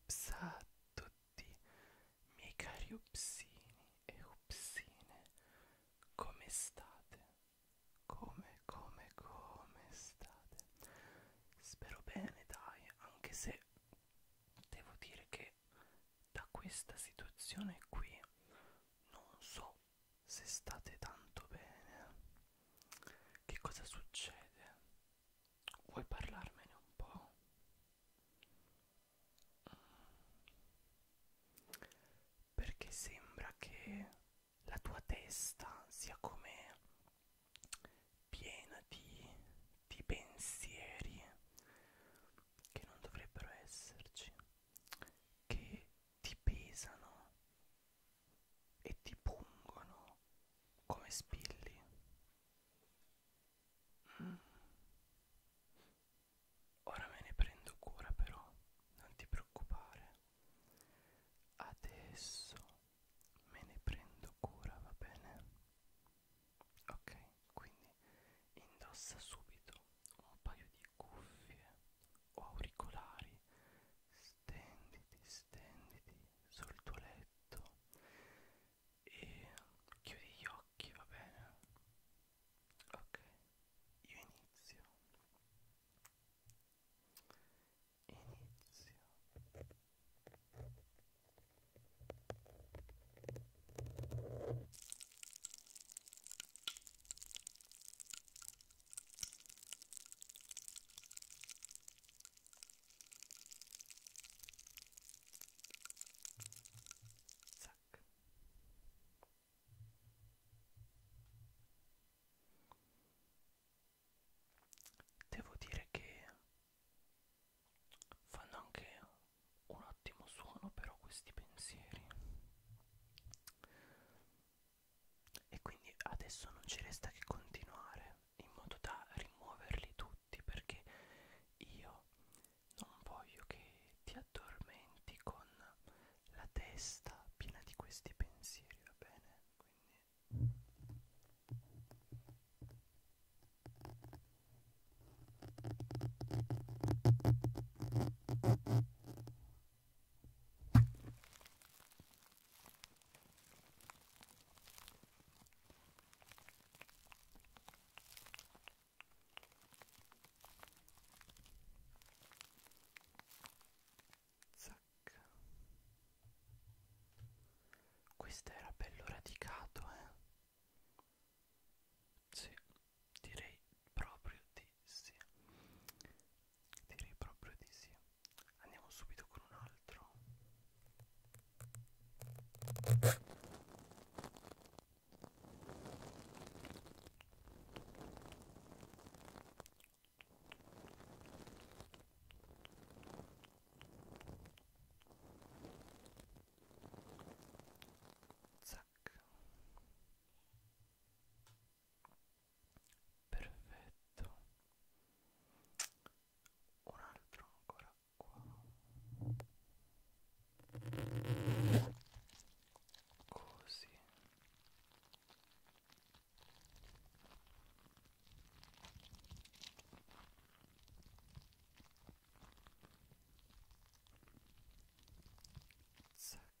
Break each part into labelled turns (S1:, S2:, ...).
S1: Ups a tutti, miei cari upsini e upsine, come state? Come, come, come state? Spero bene, dai, anche se devo dire che da questa situazione qui non so se state tanto bene, eh. che cosa succede? Vuoi parlarmene un po'? Mm. Perché sembra che la tua testa sia come piena di, di pensieri che non dovrebbero esserci, che ti pesano e ti pungono come spilli. Mm. Ora me ne prendo cura però, non ti preoccupare. Adesso me ne prendo cura, va bene? Ok, quindi indossa subito un paio di cuffie o auricolari, stenditi, stenditi sul tuo letto e chiudi gli occhi, va bene? Ok, io inizio. Inizio. Zac. Devo dire che fanno anche un ottimo suono però questi pensieri e quindi adesso non ci resta che continuare in modo da rimuoverli tutti perché io non voglio che ti addormenti con la testa piena di questi pensieri va bene quindi Zac. Questo era bello radicato, eh? Sì. Direi proprio di sì. Direi proprio di sì. Andiamo subito con un altro. Zero tac perfetto un altro ancora qua così Zac.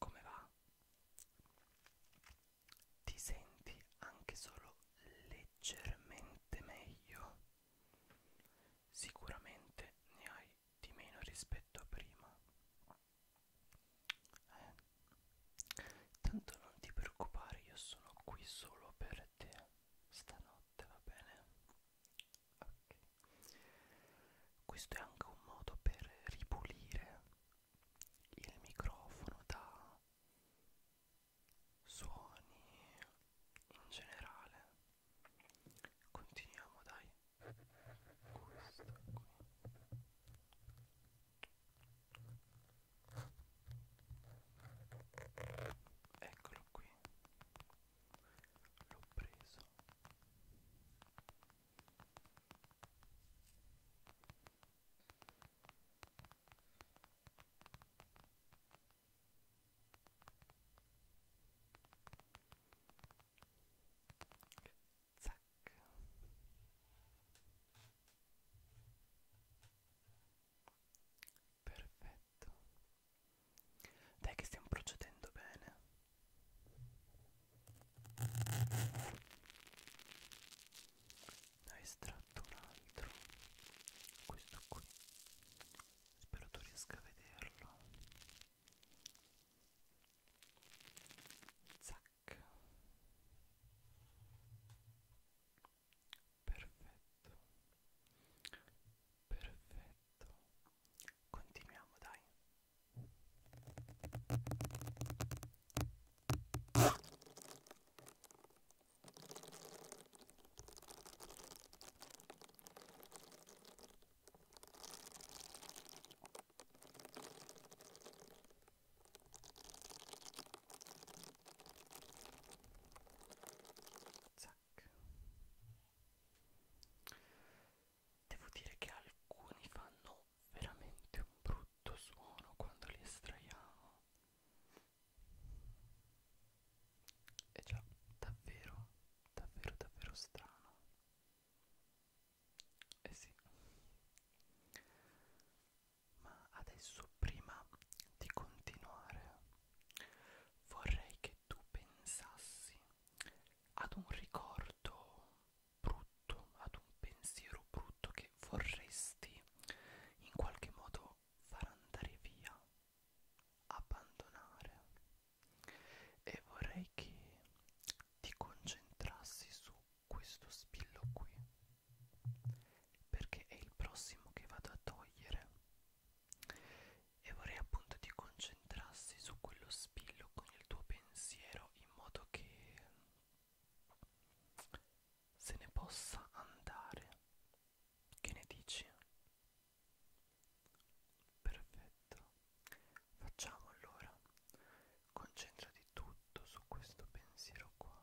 S1: Come va? Ti senti anche solo leggermente meglio? Sicuramente ne hai di meno rispetto a prima. Eh. Tanto non ti preoccupare, io sono qui solo per te stanotte, va bene? Ok. Questo è anche un modo per ripulire il microfono da suoni in generale. Continuiamo, dai. Questo qui. Eccolo qui. L'ho preso. Zac. Perfetto. Dai che stiamo procedendo bene. Ne ho estratto un altro. Questo qui. Spero tu riesca a vederlo. Zac. Perfetto. Perfetto. Continuiamo, dai. Zac. Devo dire che alcuni fanno veramente un brutto suono quando li estraiamo. È già davvero, davvero, davvero strano. Eh sì ma adesso prima di continuare vorrei che tu pensassi ad un ricordo brutto, ad un pensiero brutto che vorresti in qualche modo far andare via, abbandonare e vorrei che ti concentrassi su questo spillo qui perché è il prossimo che vado a togliere e vorrei appunto ti concentrassi su quello spillo con il tuo pensiero in modo che se ne possa andare che ne dici? perfetto facciamo allora concentrati tutto su questo pensiero qua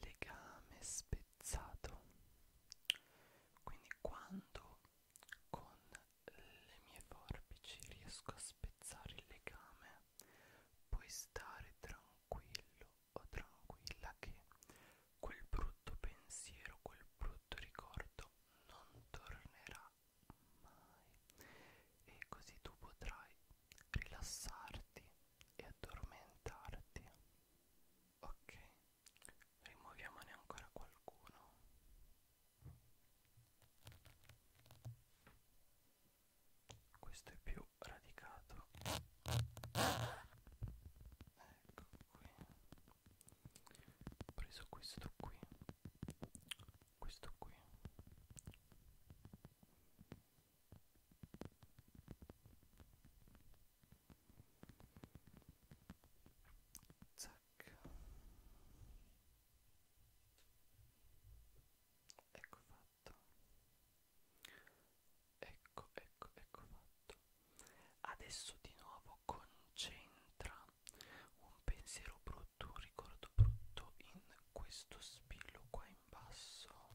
S1: legame spezzato quindi quando con le mie forbici riesco a spezzare il legame puoi stare tranquillo o tranquilla che quel brutto pensiero quel brutto ricordo non tornerà mai e così tu potrai rilassarti e addormentarti ok rimuoviamone ancora qualcuno questo è più radicato ecco qui ho preso questo qui questo qui Zac. Ecco fatto. Ecco, ecco, ecco fatto. Adesso di nuovo concentra un pensiero brutto, un ricordo brutto in questo spillo qua in basso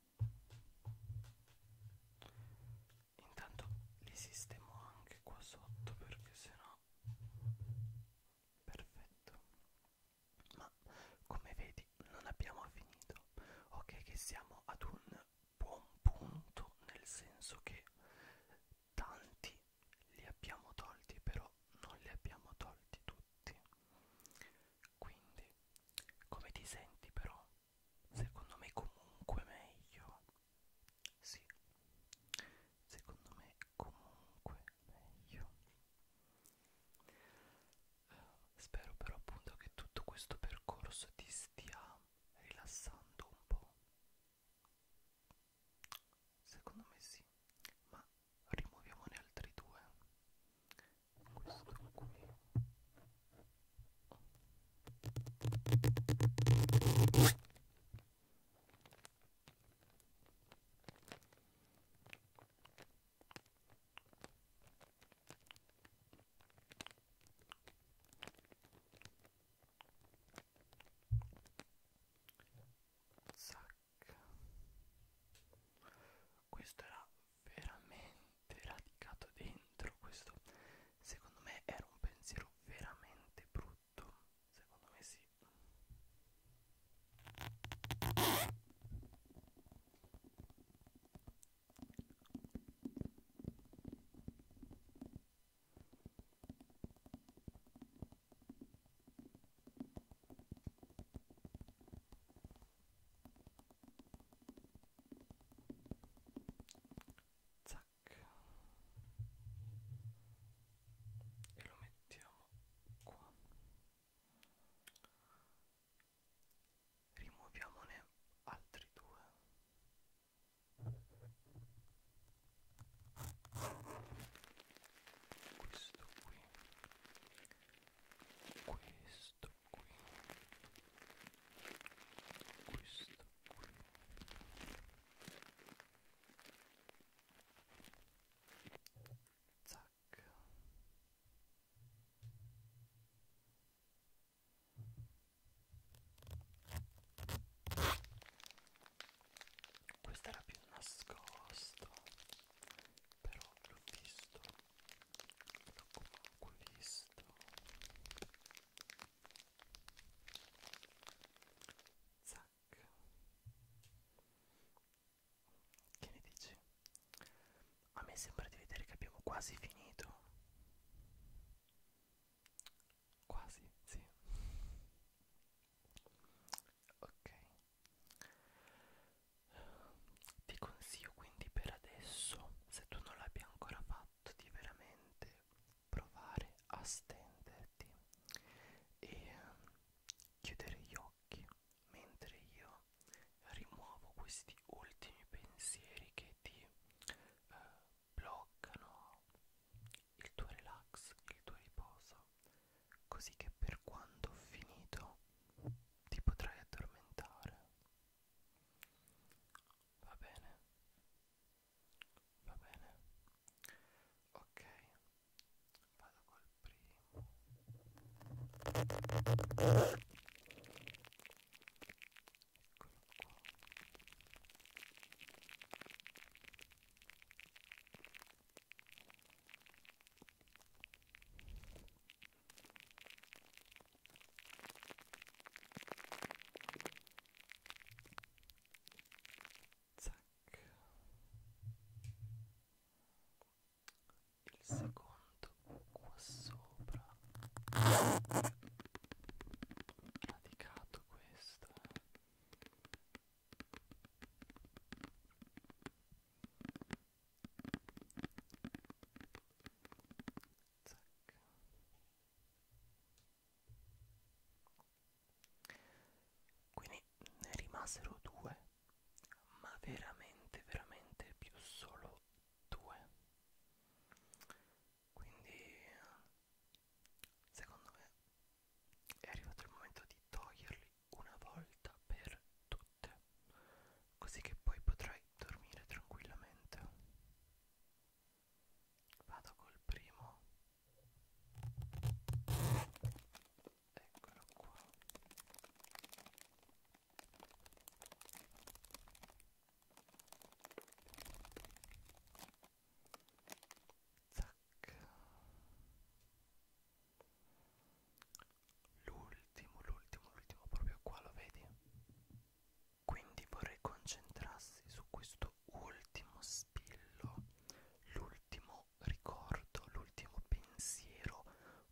S1: Intanto li sistemo anche qua sotto perché sennò perfetto. Ma come vedi non abbiamo finito. Ok che siamo ad un buon punto nel senso che tanti li abbiamo tolti però non li abbiamo tolti tutti quindi come ti senti però secondo me comunque meglio sì secondo me comunque meglio eh, spero però appunto che tutto questo percorso ti stia rilassando un po' secondo me sì ma rimuoviamone altri due questo qui Zac. Questo era veramente radicato dentro questo secondo me era un pensiero veramente brutto secondo me sì Zac. E lo mettiamo qua. Rimuoviamone altri due. Questo qui. Questo qui questo qui zac questo era più nascosto però l'ho visto l'ho comunque visto zac che ne dici? a me sembra di vedere che abbiamo quasi finito quasi, sì ok ti consiglio quindi per adesso, se tu non l'abbia ancora fatto, di veramente provare a stenderti e ehm, chiudere gli occhi mentre io rimuovo questi ultimi pensieri che ti eh, bloccano il tuo relax, il tuo riposo, così che per quando ho finito ti potrai addormentare. Va bene. Va bene. Ok. Vado col primo. Eccolo qua. Zac. Il secondo qua sopra radicato questo eh. Zac. Quindi ne rimasero due, ma veramente, veramente più solo due. Quindi, secondo me, è arrivato il momento di toglierli una volta per tutte notte, così che poi potrai dormire tranquillamente. Vado col primo. Eccolo qua. Zac l'ultimo, l'ultimo, l'ultimo, proprio qua lo vedi? Quindi vorrei concentrarsi su questo ultimo spillo, l'ultimo ricordo, l'ultimo pensiero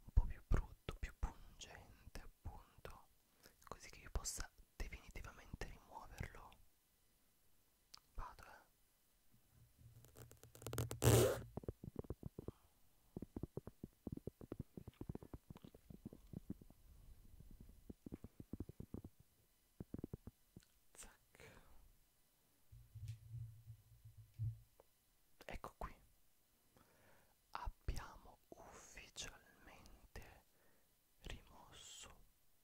S1: un po' più brutto, più pungente appunto, così che io possa definitivamente rimuoverlo. Vado eh. Zac. Ecco qui. Abbiamo ufficialmente rimosso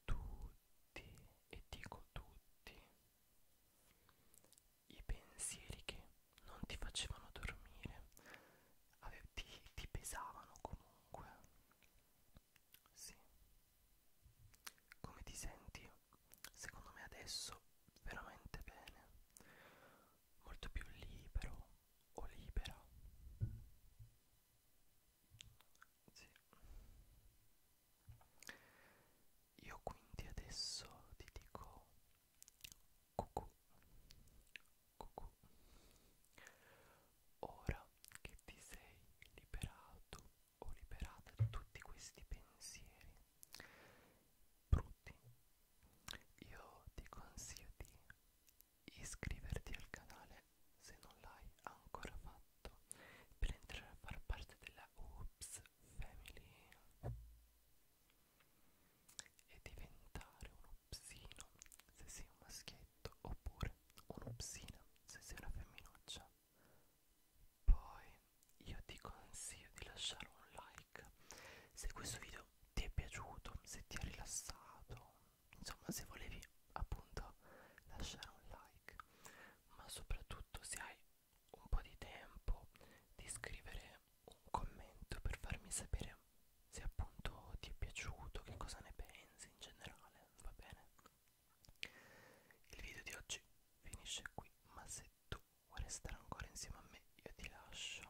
S1: tutti e dico tutti i pensieri che non ti facevano dormire, Ave ti, ti pesavano comunque. Sì. Come ti senti? Secondo me adesso veramente bene. Molto più libero o libera. Sì. Io quindi adesso ti dico cucù, cucù. Ora che ti sei liberato o liberata da tutti questi pensieri brutti, io ti consiglio di iscriverti al canale se non l'hai ancora fatto per entrare a far parte della Oops Family e diventare un opsino se sei un maschietto oppure un'opsina se sei una femminuccia. Poi io ti consiglio di lasciare un like se questo video ti è piaciuto, se ti ha rilassato, insomma se volevi appunto lasciare un like, ma soprattutto se hai un po' di tempo di scrivere un commento per farmi sapere se appunto ti è piaciuto, che cosa ne pensi in generale, va bene? Il video di oggi finisce qui, ma se tu vuoi restare ancora insieme a me io ti lascio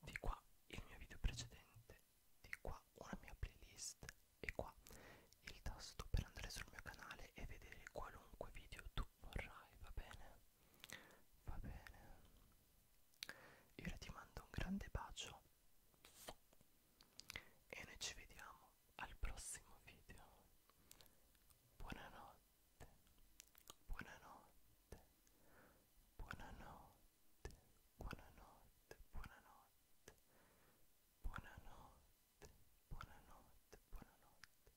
S1: di qua il mio video precedente, di qua una mia playlist e qua il tasto per andare sul mio canale e vedere qualunque video tu vorrai, va bene? Va bene. Io ora ti mando un grande bacio e noi ci vediamo al prossimo video. Buonanotte, buonanotte, buonanotte, buonanotte, buonanotte, buonanotte, buonanotte, buonanotte, buonanotte.